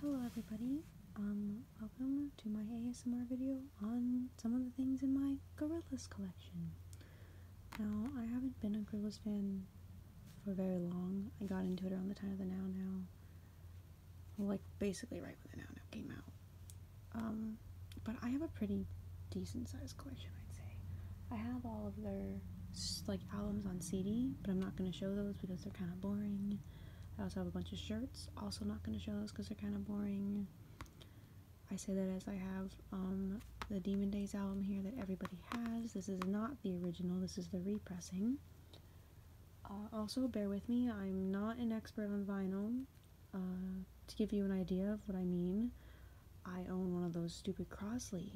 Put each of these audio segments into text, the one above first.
Hello everybody, um, welcome to my ASMR video on some of the things in my Gorillaz collection. Now, I haven't been a Gorillaz fan for very long. I got into it around the time of the Now Now. like, basically right when the Now Now came out. Um, but I have a pretty decent sized collection, I'd say. I have all of their, like, albums on CD, but I'm not going to show those because they're kind of boring. I also have a bunch of shirts. Also not going to show those because they're kind of boring. I say that as I have um, the Demon Days album here that everybody has. This is not the original. This is the repressing. Uh, also, bear with me. I'm not an expert on vinyl. Uh, to give you an idea of what I mean, I own one of those stupid Crosley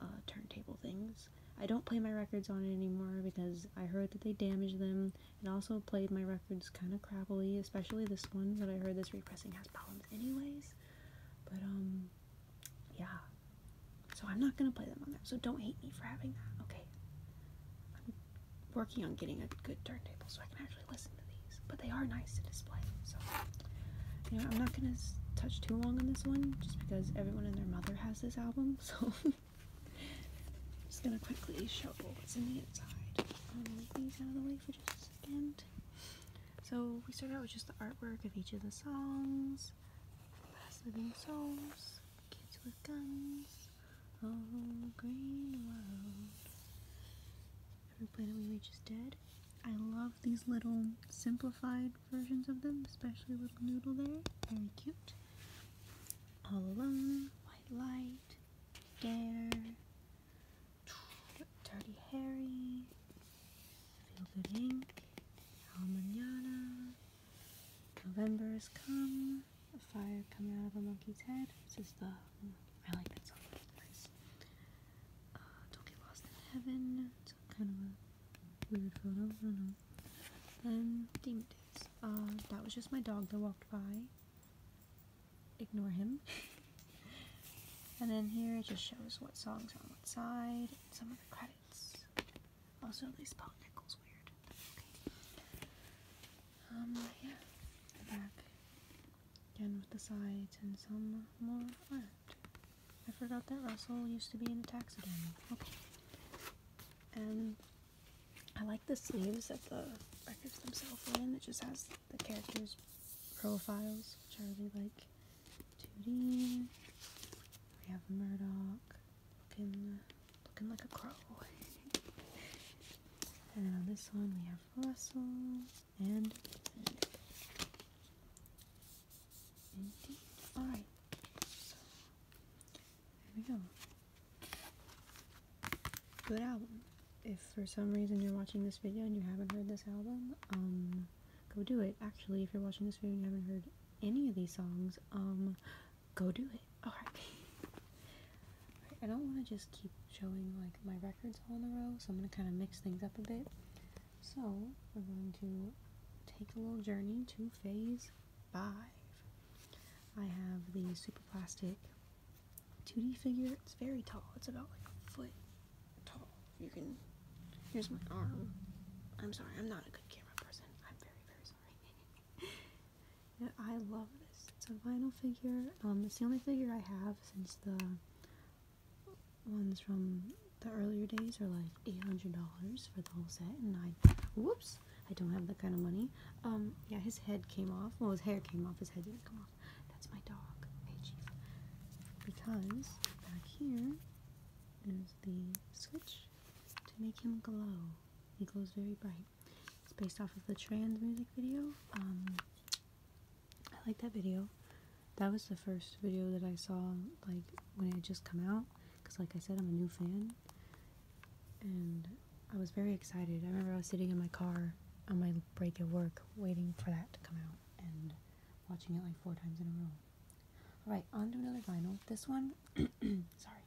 uh, turntable things. I don't play my records on it anymore because I heard that they damaged them and also played my records kind of crappily, especially this one that I heard this repressing has problems anyways. But um yeah. So I'm not going to play them on there. So don't hate me for having that, okay? I'm working on getting a good turntable so I can actually listen to these, but they are nice to display. So you know, I'm not going to touch too long on this one just because everyone and their mother has this album. So just gonna quickly show what's in the inside. I'm um, gonna move these out of the way for just a second. So we start out with just the artwork of each of the songs. Past Living Souls, Kids with Guns, Oh Green World. Every Planet We Reach is Dead. I love these little simplified versions of them, especially Little Noodle there. Very cute. All Alone, White Light, Dare, Dirty hairy, Feel Good Ink, Al November Has Come, A Fire Coming Out of a Monkey's Head. This is the, I like that song, it's uh, Don't Get Lost in Heaven, it's kind of a weird photo, I don't know. Um, then uh, that was just my dog that walked by. Ignore him. and then here it just shows what songs are on what side, and some of the credits. Also, these spell nickels weird. Um, yeah. Back again with the sides and some more art. I forgot that Russell used to be in a taxidermy. Okay and I like the sleeves that the records themselves are in. It just has the characters' profiles, which I really like. 2 We have Murdoch looking, looking like a crow. and on this one we have Russell and Indeed. Alright. There we go. Good album. If for some reason you're watching this video and you haven't heard this album, um, go do it. Actually, if you're watching this video and you haven't heard any of these songs, um, go do it. Alright. I don't want to just keep showing, like, my records all in a row, so I'm going to kind of mix things up a bit. So, we're going to take a little journey to phase five. I have the Super Plastic 2D figure. It's very tall. It's about like a foot tall. You can. Here's my arm. I'm sorry. I'm not a good camera person. I'm very, very sorry. I love this. It's a vinyl figure. Um, it's the only figure I have since the ones from the earlier days are like $800 for the whole set and I whoops I don't have that kind of money um yeah his head came off well his hair came off his head didn't come off that's my dog because back here is the switch to make him glow he glows very bright it's based off of the trans music video um I like that video that was the first video that I saw like when it just come out because, like I said, I'm a new fan, and I was very excited. I remember I was sitting in my car on my break at work, waiting for that to come out, and watching it like four times in a row. All right, on to another vinyl. This one, sorry,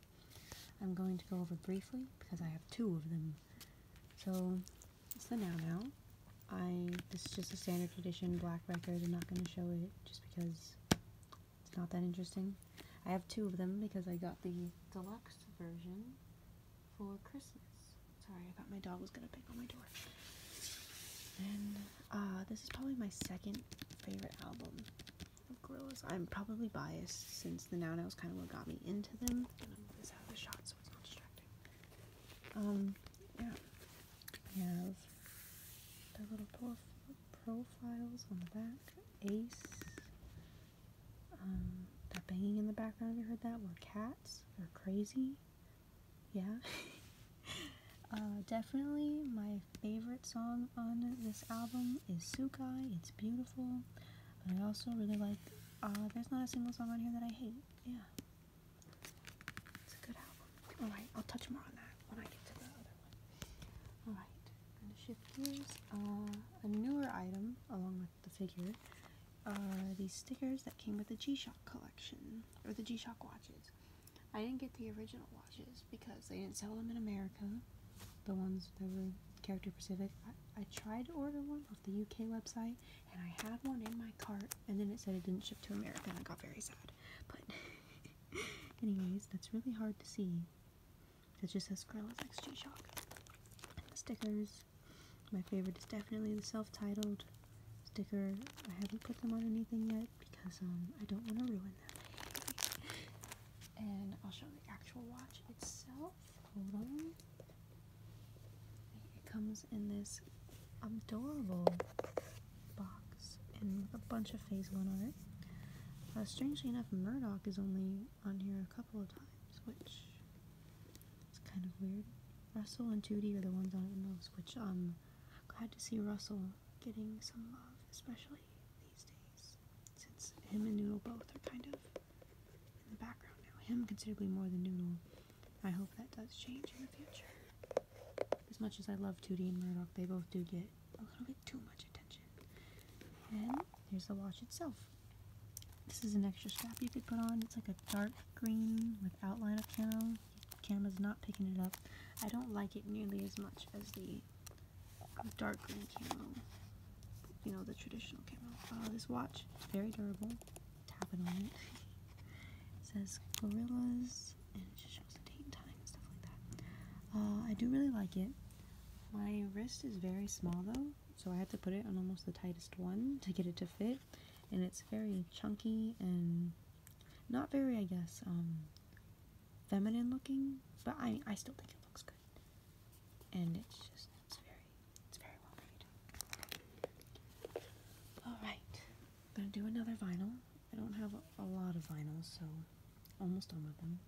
I'm going to go over briefly because I have two of them. So it's the Now Now. I this is just a standard edition black record. I'm not going to show it just because it's not that interesting. I have two of them because I got the deluxe version for Christmas. Sorry, I thought my dog was gonna pick on my door. And uh, this is probably my second favorite album of Gorillaz. I'm probably biased since the Now Now is kind of what got me into them. Um, yeah. I have the little dwarf profiles on the back. Ace. Um, that banging in the background, you heard that? Were cats. They're crazy. Yeah. Uh, definitely my favorite song on this album is Sukai. It's beautiful. I also really like, Ah, there's not a single song on here that I hate. Yeah. It's a good album. Alright, I'll touch more on that when I get to the other. Alright, I'm going to shift gears. Uh, a newer item, along with the figure, are these stickers that came with the G-Shock collection, or the G-Shock watches. I didn't get the original watches because they didn't sell them in America, the ones that were Character Pacific. I, I tried to order one off the UK website, and I had one in my cart, and then it said it didn't ship to America, and I got very sad. But Anyways, that's really hard to see. It just says Scarlett's X G-Shock. The stickers. My favorite is definitely the self-titled sticker. I haven't put them on anything yet because um, I don't want to ruin them. and I'll show the actual watch itself. Hold on. It comes in this adorable box and a bunch of phase one on it. Uh, strangely enough, Murdoch is only on here a couple of times, which is kind of weird. Russell and Tootie are the ones on it the most, which I'm glad to see Russell getting some love, especially these days, since him and Noodle both are kind of in the background now. Him considerably more than Noodle. I hope that does change in the future. As much as I love Tootie and Murdock, they both do get a little bit too much attention. And here's the watch itself. This is an extra strap you could put on. It's like a dark green with outline of camo. The camera's not picking it up. I don't like it nearly as much as the dark green camo. You know, the traditional camo. Uh, this watch, it's very durable. Tapping on it. It says Gorillas it just shows the date time and stuff like that. Uh, I do really like it. My wrist is very small though, so I had to put it on almost the tightest one to get it to fit, and it's very chunky and not very, I guess, um, feminine looking, but I I still think it looks good, and it's just it's very it's very well made. All right, I'm gonna do another vinyl. I don't have a lot of vinyls, so almost all of them.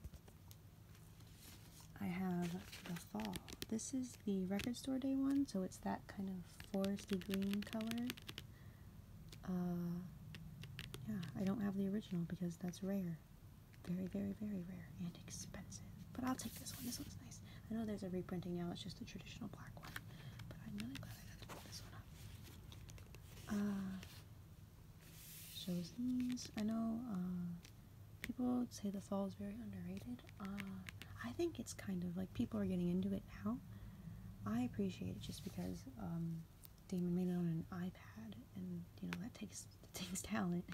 I have The Fall. This is the record store day one, so it's that kind of foresty green color. Uh, yeah, I don't have the original because that's rare. Very, very, very rare and expensive. But I'll take this one. This one's nice. I know there's a reprinting now, it's just the traditional black one. Uh, shows these. I know uh, people say the fall is very underrated. Uh, I think it's kind of like people are getting into it now. I appreciate it just because um, Damon made it on an iPad, and you know that takes takes talent.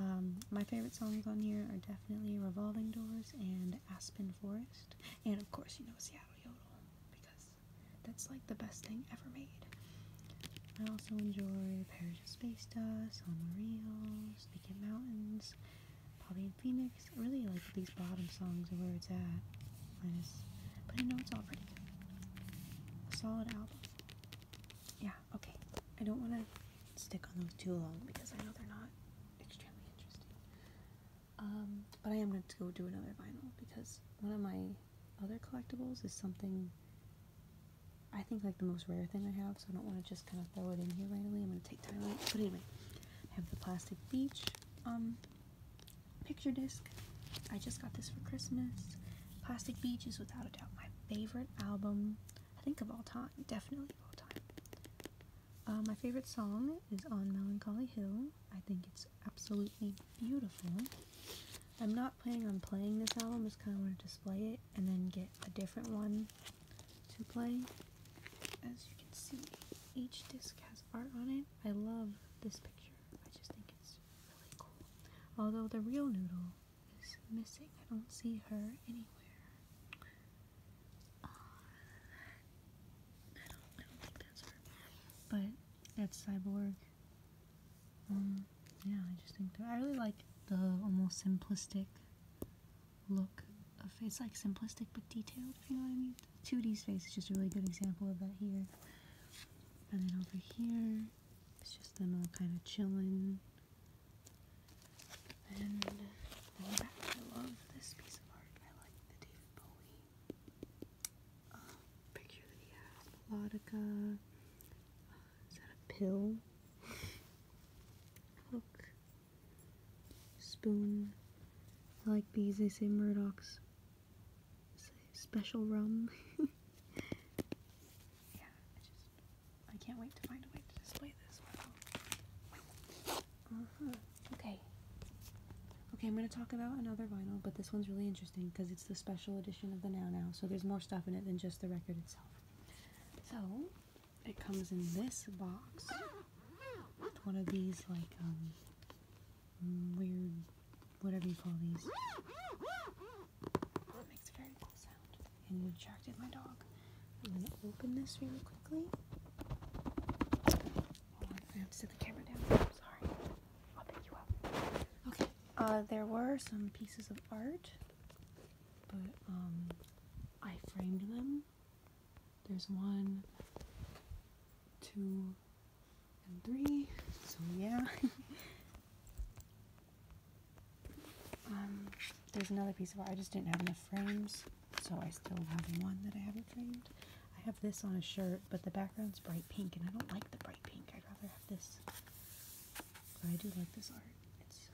Um, my favorite songs on here are definitely Revolving Doors and Aspen Forest, and of course you know Seattle Yodel because that's like the best thing ever made. I also enjoy Parish of Space Dust, On the Reels, Naked Mountains, Bobby and Phoenix. I really like these bottom songs and where it's at. but I know it's all pretty good. A solid album. Yeah, okay. I don't want to stick on those too long because I know they're not extremely interesting. Um, but I am going to go do another vinyl because one of my other collectibles is something I think like the most rare thing I have, so I don't want to just kind of throw it in here right away. I'm going to take time out. But anyway, I have the plastic beach um, picture disc. I just got this for Christmas. Plastic Beach is without a doubt my favorite album, I think of all time, definitely of all time. Uh, my favorite song is On Melancholy Hill, I think it's absolutely beautiful. I'm not planning on playing this album, just kind of want to display it and then get a different one to play. As you can see, each disc has art on it. I love this picture, I just think it's really cool. Although the real noodle is missing, I don't see her anywhere. But that's Cyborg. Mm, yeah, I just think I really like the almost simplistic look of it's like simplistic but detailed, you know what I mean. 2D's face is just a really good example of that here. And then over here, it's just them all kind of chilling. And I love this piece of art. I like the David Bowie um, picture that he melodica, uh, is that a pill, hook, spoon, like these, they say Murdoch's special rum, yeah, I just, I can't wait to find a way to display this, Okay. Okay, I'm going to talk about another vinyl, but this one's really interesting because it's the special edition of the Now Now, so there's more stuff in it than just the record itself. So, it comes in this box with one of these, like, um, weird, whatever you call these. It makes a very cool sound, and you attracted my dog. I'm going to open this really quickly. I have to set the camera down. Uh, there were some pieces of art, but um, I framed them. There's one, two, and three. So yeah. Um, there's another piece of art. I just didn't have enough frames so I still have one that I haven't framed. I have this on a shirt, but the background's bright pink, and I don't like the bright pink. I'd rather have this. I do like this art. It's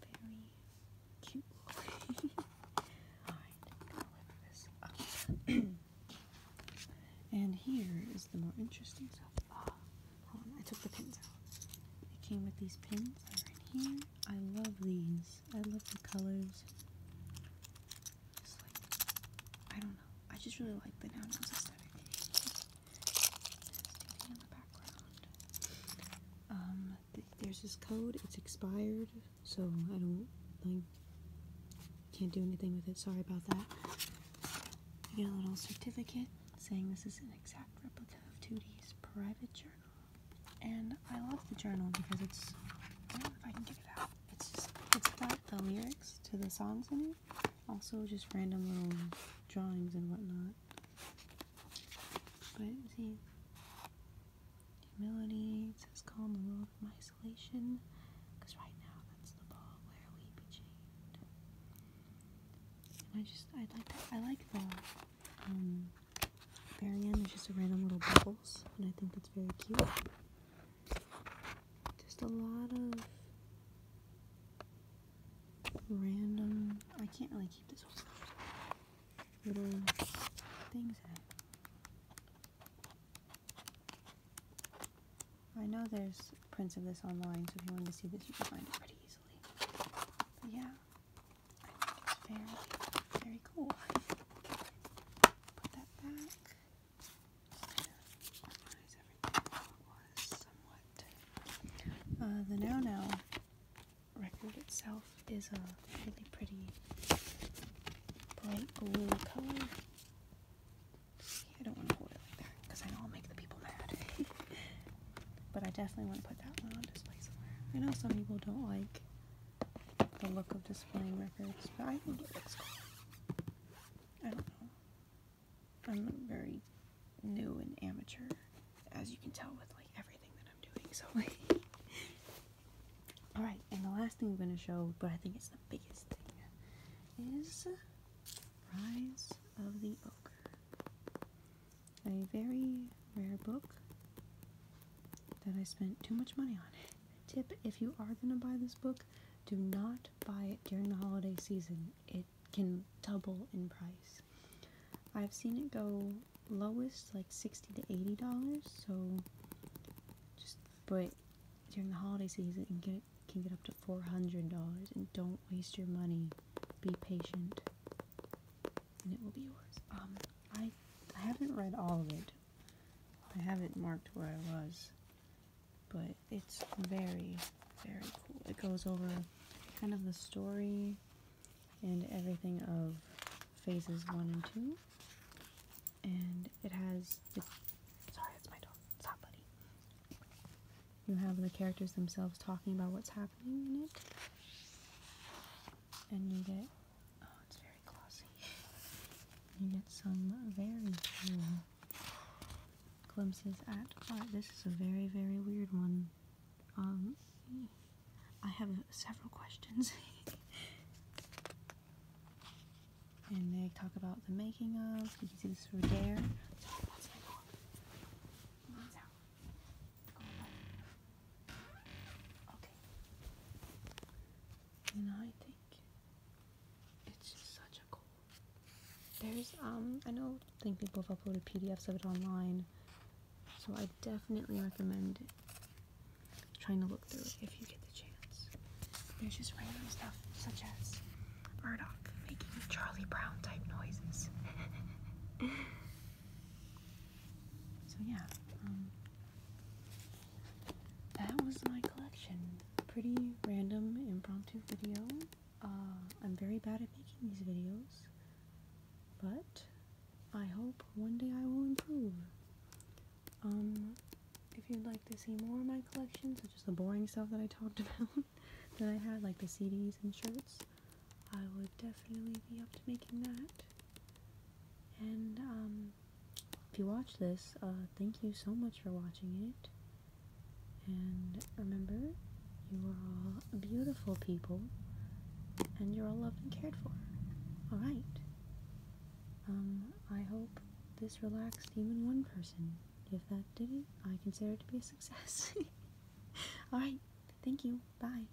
very cute. Alright, go this and here is the more interesting stuff. Oh, I took the pins out. It came with these pins I love these. I love the colors. I don't know. I just really like the Now aesthetic. Um, there's this code. It's expired, so I don't like can't do anything with it. Sorry about that. You get a little certificate saying this is an exact replica of 2 private journal. And I love the journal because it's, I don't know if I can get it out. It's just, it's got the lyrics to the songs in it. Also just random little drawings and whatnot. But see, humility, it says calm the world from isolation. Because right now that's the ball where we be chained. And I just, I like that, I like the, um, Barium is just a random little bubbles, and I think that's very cute. Just a lot of random. I can't really keep this one. Little things I know there's prints of this online, so if you wanted to see this, you can find it pretty easily. yeah, very, very cool. Uh, the Now Now record itself is a really pretty bright blue color. I don't want to hold it like that because I know I'll make the people mad. but I definitely want to put that one on display somewhere. I know some people don't like the look of displaying records, but I think it looks cool. I don't know. I'm very new and amateur, as you can tell with like everything that I'm doing, so Alright, and the last thing I'm gonna show, but I think it's the biggest thing, is Rise of the Ogre. A very rare book that I spent too much money on. Tip if you are going to buy this book, do not buy it during the holiday season. It can double in price. I've seen it go lowest like 60 to 80 dollars, so just but during the holiday season and get it can get up to $400 and don't waste your money. Be patient and it will be yours. Um, I I haven't read all of it. I haven't marked where I was, but it's very very cool. It goes over kind of the story and everything of phases one and two, and it has. It, sorry, that's my dog. Stop, buddy. You have the characters themselves talking about what's happening in it, and you get Oh, it's very glossy. You get some very cool glimpses at art. This is a very, very weird one. Um, I have several questions. and they talk about the making of. You can see this through there. Okay. You I think it's just such a cool. There's um, I know I think people have uploaded PDFs of it online, so I definitely recommend trying to look through it if you get the chance. There's just random stuff such as Murdoch making Charlie Brown type noises. So yeah, um, that was my collection. Pretty random, impromptu video. Uh, I'm very bad at making these videos, but I hope one day I will improve. Um, if you'd like to see more of my collection, such as the boring stuff that I talked about, that I had, like the CDs and shirts, I would definitely be up to making that. And um, if you watch this, uh, thank you so much for watching it. And remember, you are all beautiful people, and you're all loved and cared for. All right. Um, I hope this relaxed even one person. If that did it, I consider it to be a success. all right. Thank you. Bye.